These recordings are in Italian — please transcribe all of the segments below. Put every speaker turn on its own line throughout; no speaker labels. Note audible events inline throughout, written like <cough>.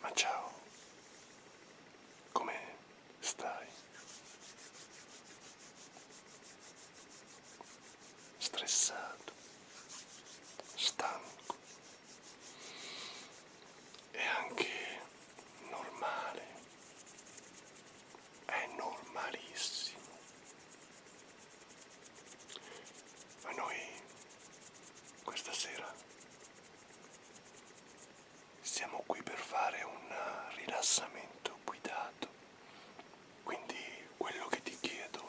Ma ciao, come stai? Stressato, stanco, è anche normale, è normalissimo a noi questa sera siamo qui per fare un rilassamento guidato, quindi quello che ti chiedo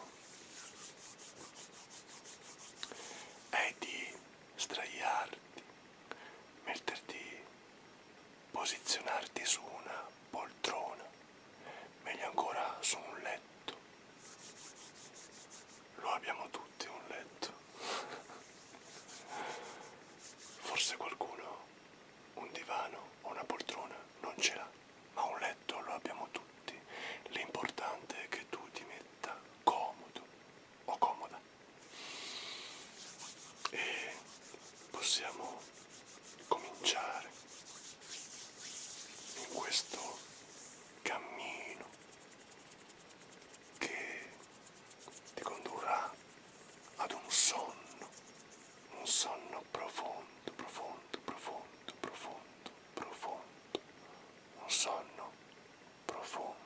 è di straiarti, metterti, posizionarti su una poltrona meglio ancora su un letto. Lo abbiamo tutti un letto. Forse qualcuno un divano o una poltrona non ce l'ha, ma un letto lo abbiamo tutti. L'importante è che tu ti metta comodo o comoda. E possiamo cominciare in questo cammino che ti condurrà ad un sonno, un sonno profondo, profondo, profondo, profondo, profondo, un sonno profondo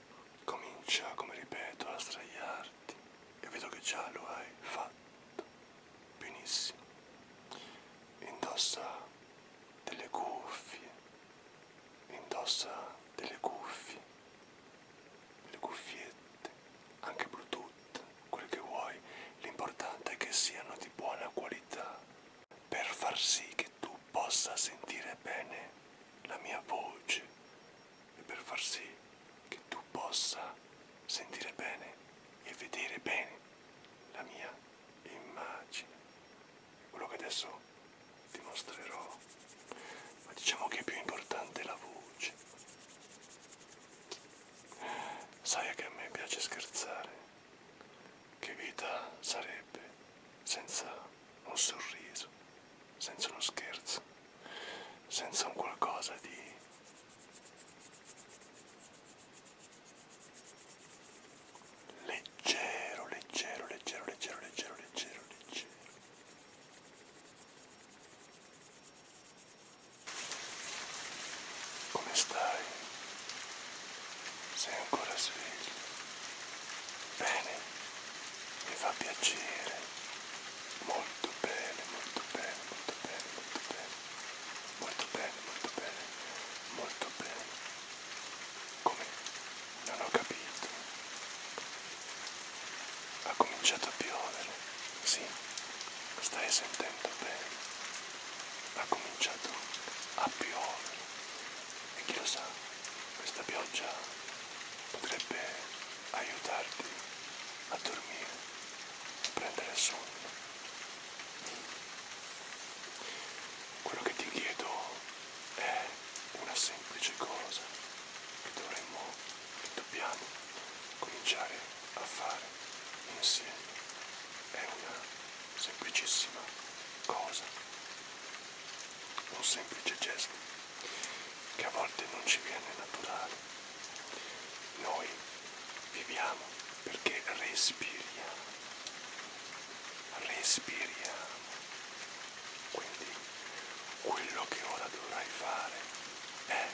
comincia, come ripeto, a sdraiarti e vedo che già lo hai fatto benissimo. Indossa delle cuffie, indossa delle cuffie, le cuffiette, anche Bluetooth, quel che vuoi, l'importante è che siano di buona qualità per far sì che tu possa sentire bene la mia voce e per far sì che tu possa sentire bene e vedere bene la mia immagine. Quello che adesso ti mostrerò, ma diciamo che è più importante la voce. Sai che a me piace scherzare. Che vita sarebbe senza ho sorriso, senza uno scherzo, senza un qualcosa di... leggero, leggero, leggero, leggero, leggero, leggero, leggero. Come stai? sei ancora sveglio. Bene, mi fa piacere. Molto bene, molto bene, molto bene, molto bene. Molto bene, molto bene, molto bene. Come? Non ho capito. Ha cominciato a piovere. Sì, stai sentendo bene. Ha cominciato a piovere e chi lo sa, questa pioggia potrebbe aiutarti a dormire, a prendere sonno. Quello che ti chiedo è una semplice cosa che dovremmo, che dobbiamo cominciare a fare insieme. È una semplicissima cosa un semplice gesto che a volte non ci viene naturale. Noi viviamo perché respiriamo, respiriamo. Quindi quello che ora dovrai fare è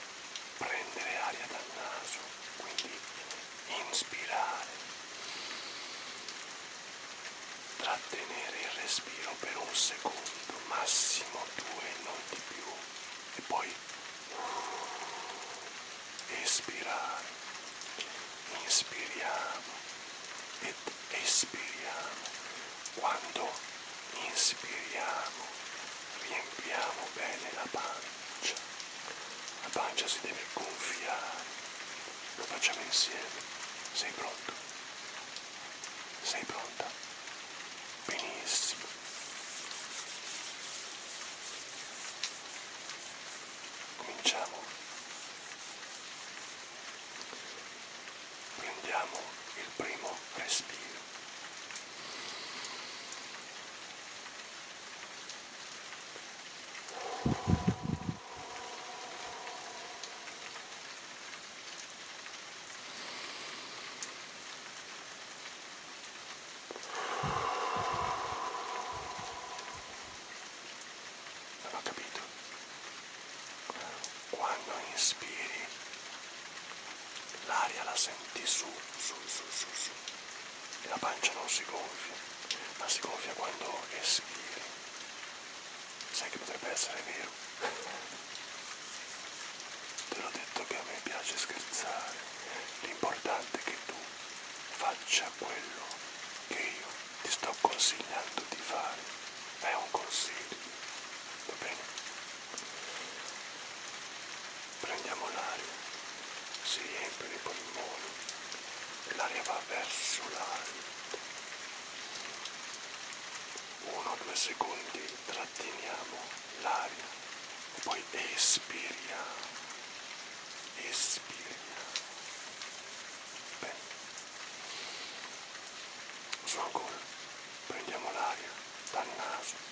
prendere aria dal naso, quindi inspirare, trattenere il respiro per un secondo, massimo due, non di più, e poi espirare, inspiriamo ed espiriamo. Quando inspiriamo riempiamo bene la pancia la pancia si deve gonfiare. Lo facciamo insieme. Sei pronto? Sei pronta? Benissimo. Cominciamo. Prendiamo il primo respiro. Non ho capito. Quando inspiri l'aria la senti su, su, su, su, su e la pancia non si gonfia, ma si gonfia quando espiri. Sai che potrebbe essere vero? <laughs> Te l'ho detto che a me piace scherzare. L'importante è che tu faccia quello che io ti sto consigliando di fare. È un consiglio, va bene? Prendiamo l'aria si riempiono i polmoni e l'aria va verso l'alto. Uno o due secondi tratteniamo l'aria e poi espiriamo. Espiriamo. Bene. Su ancora. Prendiamo l'aria dal naso.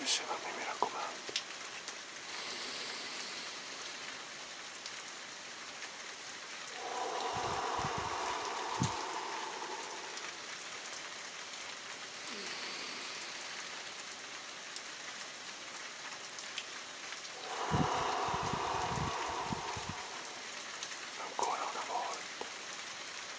insieme a me mi raccomando ancora una volta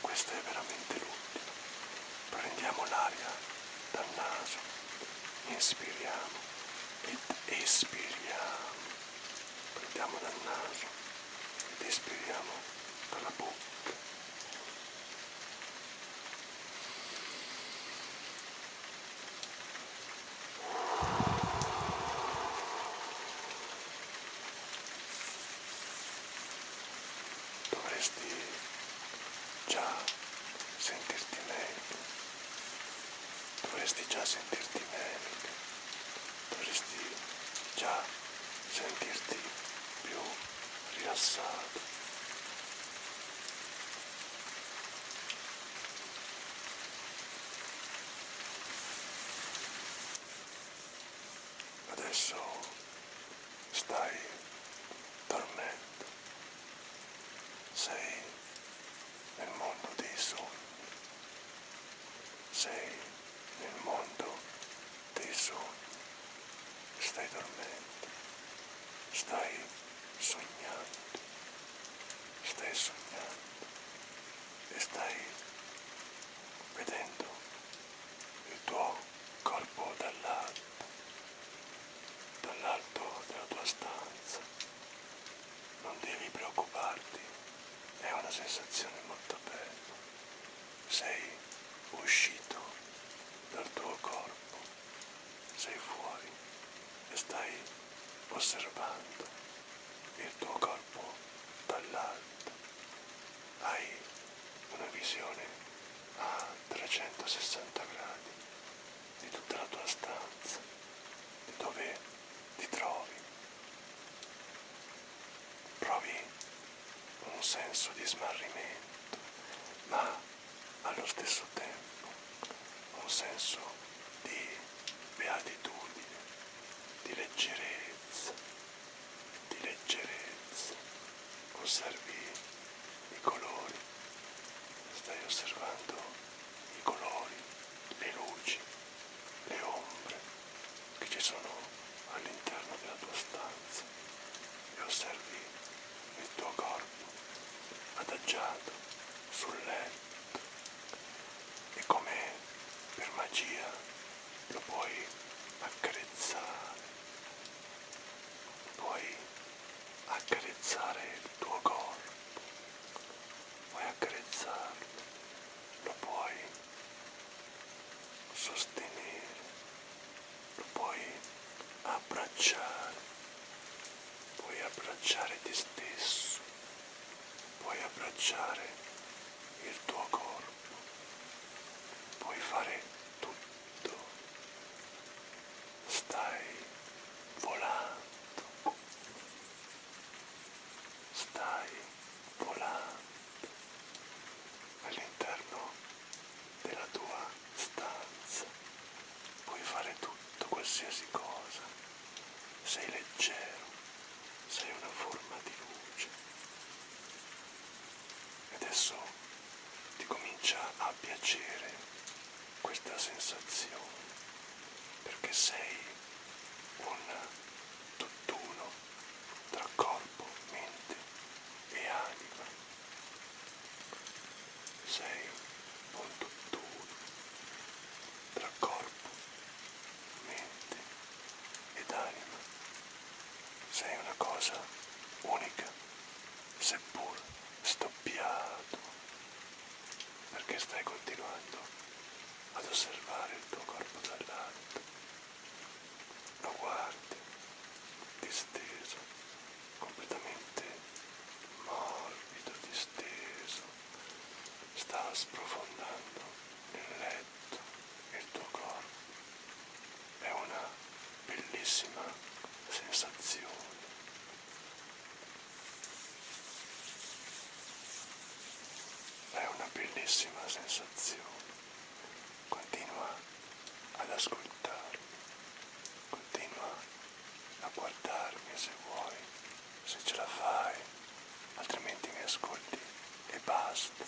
Questa è veramente l'ultima. Prendiamo l'aria dal naso, inspiriamo ed espiriamo. Prendiamo dal naso ed espiriamo dalla bocca dovresti già sentirti meglio, dovresti già sentirti meglio, dovresti già sentirti più rilassato adesso stai dormendo, sei nel mondo dei sogni, sei nel mondo dei sogni, stai dormendo, stai sognando, stai sognando e stai vedendo il tuo corpo dall'alto, dall'alto della tua stanza. Non devi preoccuparti, è una sensazione molto bella. Sei uscito dal tuo corpo, sei fuori e stai osservando il tuo corpo dall'alto. Hai una visione a 360 gradi di tutta la tua stanza, di dove ti trovi. Provi un senso di smarrimento, ma allo stesso tempo un senso di beatitudine di leggerezza, di leggerezza. Osservi i colori, stai osservando i colori, le luci, le ombre che ci sono all'interno della tua stanza e osservi il tuo corpo adagiato sul letto e come per magia lo puoi accarezzare, puoi accarezzare il tuo corpo, puoi accarezzarlo, lo puoi sostenere, lo puoi abbracciare, puoi abbracciare te stesso, puoi abbracciare il tuo corpo, puoi fare tutto, stai volando, stai volando all'interno della tua stanza, puoi fare tutto, qualsiasi cosa sei leggero, sei una forma di luce. E adesso ti comincia a piacere questa sensazione, perché sei un tutt'uno tra corpo, mente e anima. Sei un tutt'uno tra corpo, mente ed anima. Sei una cosa unica, seppur stoppiato, perché stai continuando ad osservare il tuo corpo dall'alto. Lo guardi, disteso, completamente morbido, disteso, sta sprofondando il letto, il tuo corpo. È una bellissima sensazione. È una bellissima sensazione. Continua ad ascoltarmi, continua a guardarmi se vuoi se ce la fai, altrimenti mi ascolti e basta.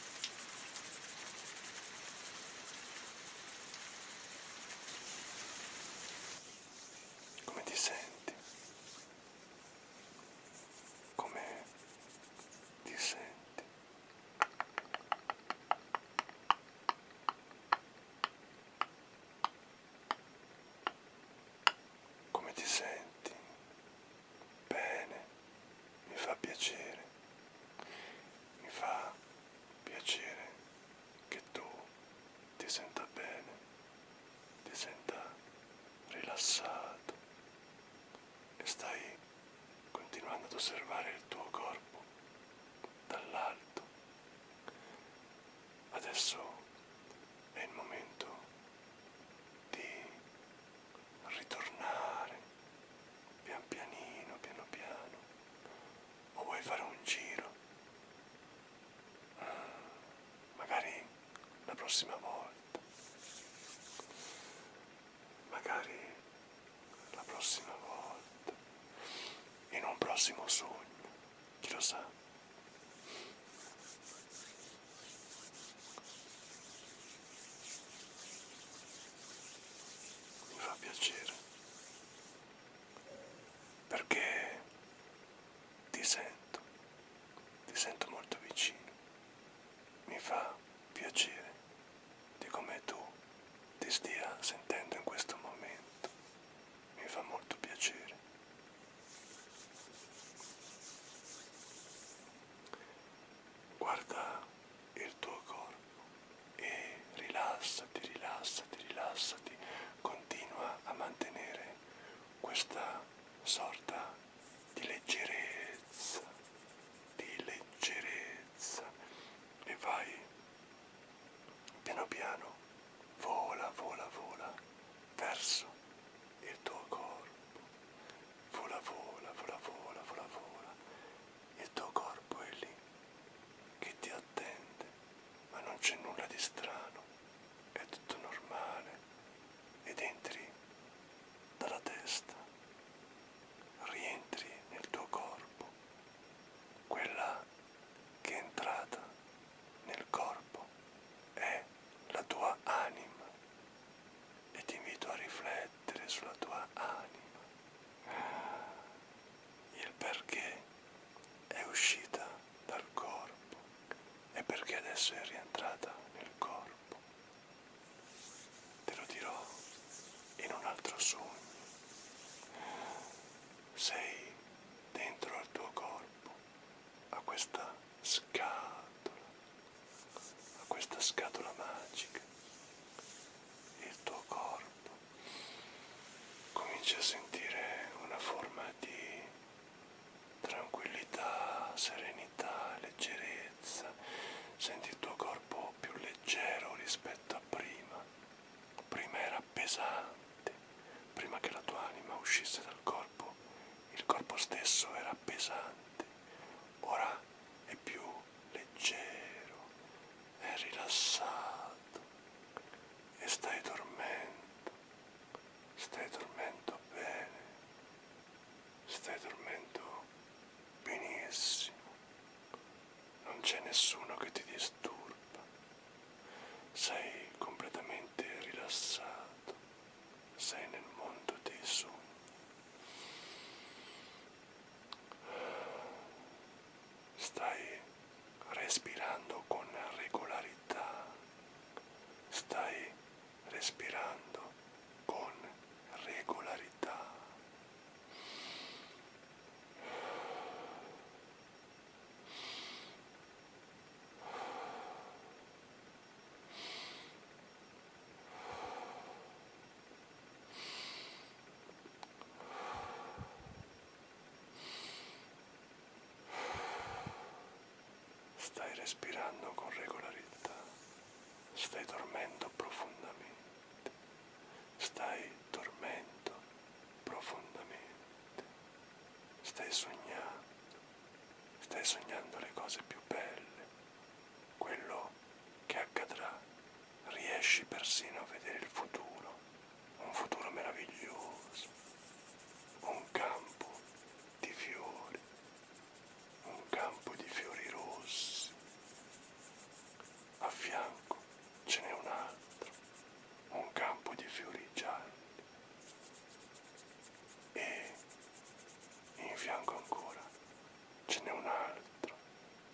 Come ti senti? Come ti senti? Come ti senti? Bene, mi fa piacere, mi fa piacere che tu ti senta bene, ti senta rilassato e stai continuando ad osservare il tuo corpo dall'alto. Adesso è il momento di ritornare pian pianino, piano piano, o vuoi fare un giro? Ah, magari la prossima volta, magari la prossima volta, in un prossimo sogno chi lo sa? Mi fa piacere perché ti sento, ti sento molto vicino, mi fa piacere di come tu ti stia sentendo in questo momento, mi fa molto piacere Guarda il tuo corpo e rilassati, rilassati, rilassati. Continua a mantenere questa sorta di leggerezza, di leggerezza e vai piano piano, vola, vola, vola verso il tuo corpo, vola vola, vola vola, vola vola, il tuo corpo è lì che ti attende, ma non c'è nulla di strano, è tutto normale ed entri dalla testa, rientri nel tuo corpo, quella che è entrata nel corpo è la tua anima e ti invito a riflettere sulla tua anima, il perché è uscita dal corpo e perché adesso è rientrata nel corpo. Te lo dirò in un altro sogno. Sei dentro al tuo corpo a questa scatola, a questa scatola magica, il tuo corpo cominci a sentire una forma di tranquillità, serenità, leggerezza, senti il tuo corpo più leggero rispetto a prima, prima era era pesante. Prima che la tua anima uscisse dal corpo, il corpo stesso era pesante. Ora è più leggero, è rilassato e stai dormendo. Stai dormendo bene. Stai dormendo benissimo. Non c'è nessuno che ti disturba. Sei completamente profondamente rilassato, sei nel mondo dei sogni. Stai respirando con regolarità, stai respirando con regolarità. Stai respirando con regolarità, stai dormendo profondamente, stai dormendo profondamente stai sognando, stai sognando le cose più belle, quello che accadrà, riesci persino a vedere il futuro, un futuro meraviglioso, un campo di fiori, un campo di fiori rossi, a fianco ce n'è un altro un campo di fiori gialli e in fianco ancora ce n'è un altro,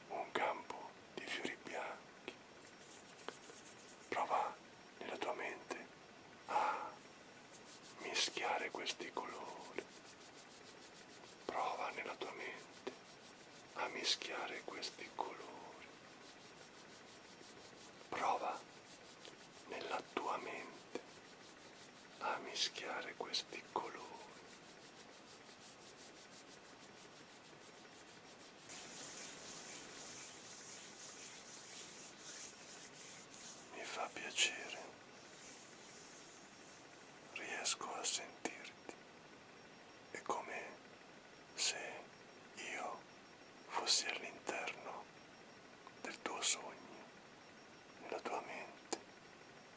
un campo di fiori bianchi. Prova nella tua mente a mischiare questi colori. Prova nella tua mente a mischiare questi colori Prova nella tua mente a mischiare questi colori. Mi fa piacere, riesco a sentirti e come se io fossi all'interno del tuo sogno, nella tua mente,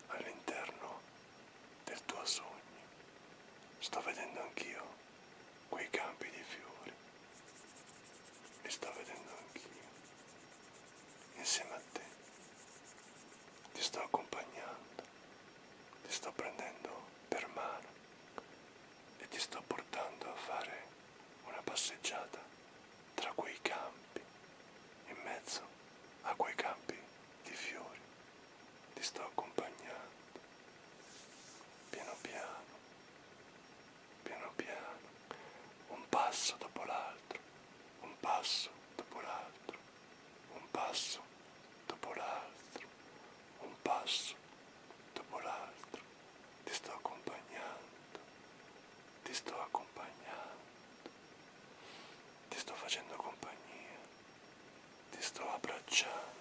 all'interno del tuo sogno. Sto vedendo anch'io quei campi di fiori, li sto vedendo anch'io, insieme a te. Ti sto accompagnando, ti sto prendendo per mano e ti sto portando a fare una passeggiata tra quei campi, in mezzo a quei campi di fiori. Ti sto accompagnando, piano piano, piano piano, un passo dopo l'altro, un passo dopo l'altro, un passo dopo l'altro, un passo dopo l'altro. Ti sto accompagnando, ti sto accompagnando, ti sto facendo compagnia, ti sto abbracciando.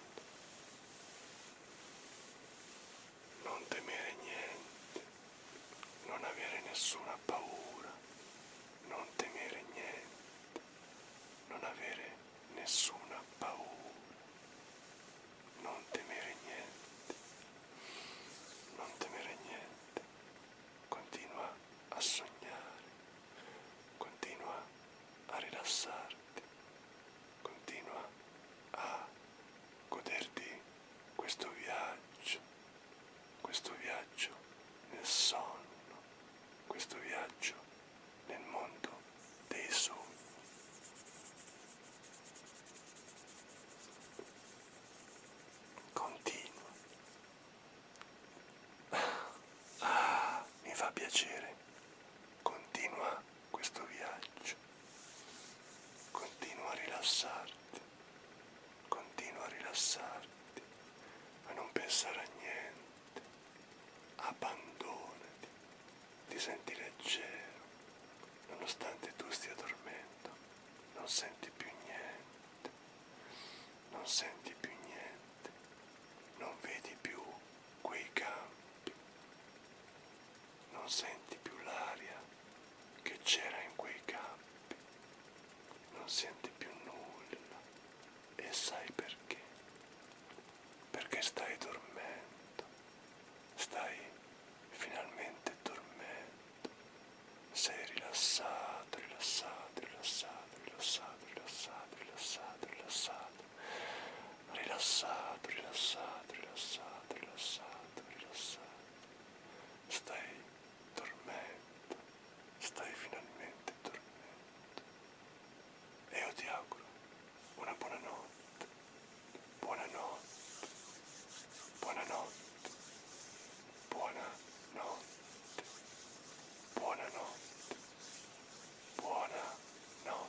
Non temere niente, non avere nessuna paura, non temere niente, non avere nessuna paura, non temere niente, non temere niente, continua a sognare, continua a rilassarti, continua a goderti questo viaggio, questo viaggio nel sonno, questo viaggio nel mondo dei sogni. Continua. Ah, mi fa piacere. Continua questo viaggio. Continua a rilassarti. Continua a rilassarti, a non pensare a niente abbandonati, ti senti leggero, nonostante tu stia dormendo, non senti più niente, non senti più niente, non vedi più quei campi, non senti più l'aria che c'era in quei campi, non senti più nulla, e sai perché? Perché stai dormendo, stai finalmente dormendo, sei rilassato, rilassato, rilassato, rilassato, rilassato, rilassato, rilassato, rilassato, rilassato, rilassato, rilassato, rilassato, stai dormendo, stai finalmente dormendo. Eu Boa Io Boa auguro Boa buona Boa buonanotte, Boa buonanotte, Boa buonanotte.